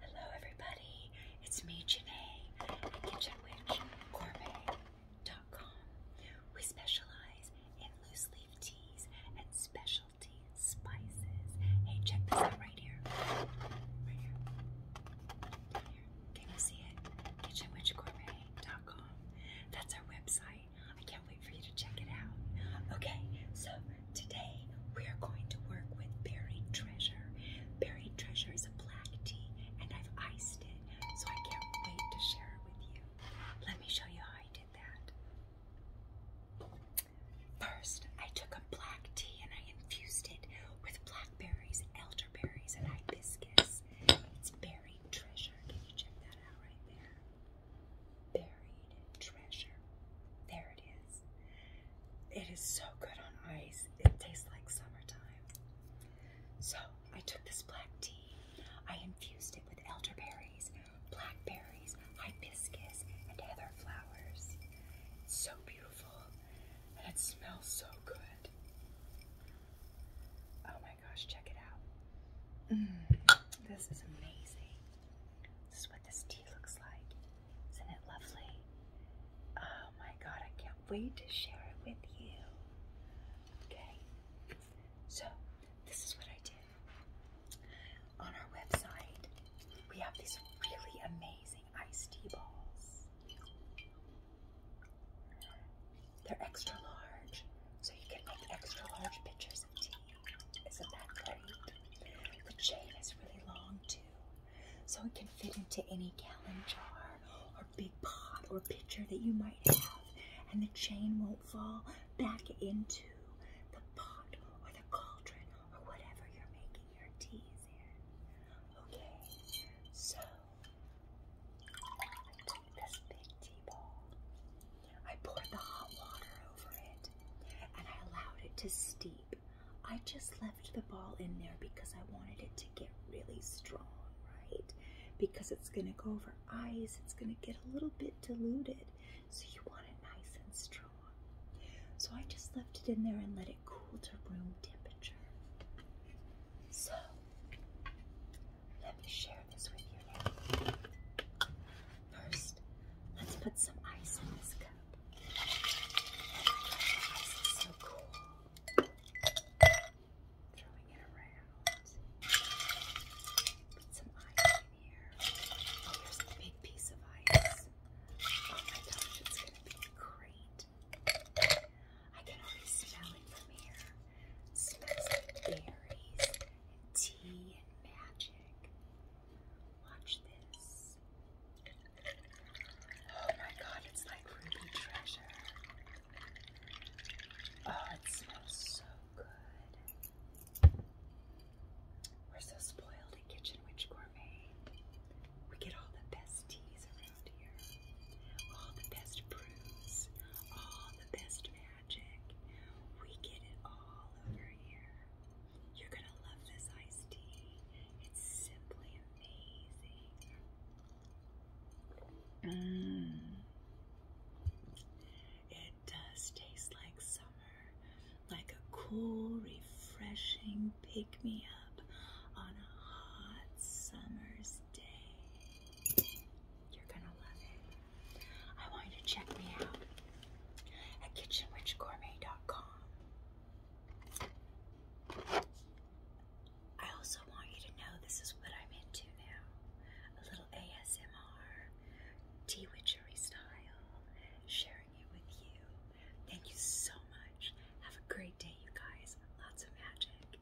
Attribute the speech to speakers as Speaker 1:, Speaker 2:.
Speaker 1: Hello, everybody. It's me, Janae, at KitchenWitchGourmet.com. We specialize in loose leaf teas and specialty spices. Hey, check this out right here. Right here. Can you see it? KitchenWitchGourmet.com. That's our website. I can't wait for you to check it out. Okay, so today we are going to work with buried treasure. Buried treasure is a black tea, and I've iced it, so I can't wait to share it with you. Let me show you how I did that. First, I took a black tea and I infused it with blackberries, elderberries, and hibiscus. It's buried treasure. Can you check that out right there? Buried treasure. There it is. It is so good on ice. It tastes like summertime. So I took this black tea. I infused it with elderberries, blackberries, hibiscus, and heather flowers. so beautiful. And it smells so good. Oh my gosh, check it out. Mm, this is amazing. This is what this tea looks like. Isn't it lovely? Oh my god, I can't wait to share it with you. Okay, so this is what I did. On our website, we have these really amazing iced tea balls. They're extra large, so you can make extra large pitchers of tea. Isn't that great? The chain is really long too, so it can fit into any gallon jar or big pot or pitcher that you might have, and the chain won't fall back into the pot or the cauldron or whatever you're making your tea in. Okay, so this big tea ball. I poured the hot water over it and I allowed it to steep. I just left the ball in there because I wanted it to get really strong, right? Because it's going to go over ice, it's going to get a little bit diluted. So you want it nice and strong. So I just left it in there and let it cool to room temperature. So let me share this with you now. First, let's put some ice in this cup. This is so cool. Throwing it around. Put some ice in here. Oh, here's a big piece of ice. Oh my gosh, it's gonna be great. I can already smell it from here. smells like berries tea magic. Watch this. Oh my god, it's like ruby treasure. Oh, it smells so good. We're so spoiled at Kitchen Witch Gourmet. We get all the best teas around here, all the best brews, all the best magic. We get it all over here. You're gonna love this iced tea. It's simply amazing. Mm. It does taste like summer, like a cool, refreshing pick me up on a hot summer's day. You're gonna love it. I want you to check me out at kitchenwitchgourmet.com. I also want you to know this is what I'm into now. A little ASMR, tea witchery style, sharing it with you. Thank you so much. Have a great day, you guys. Lots of magic.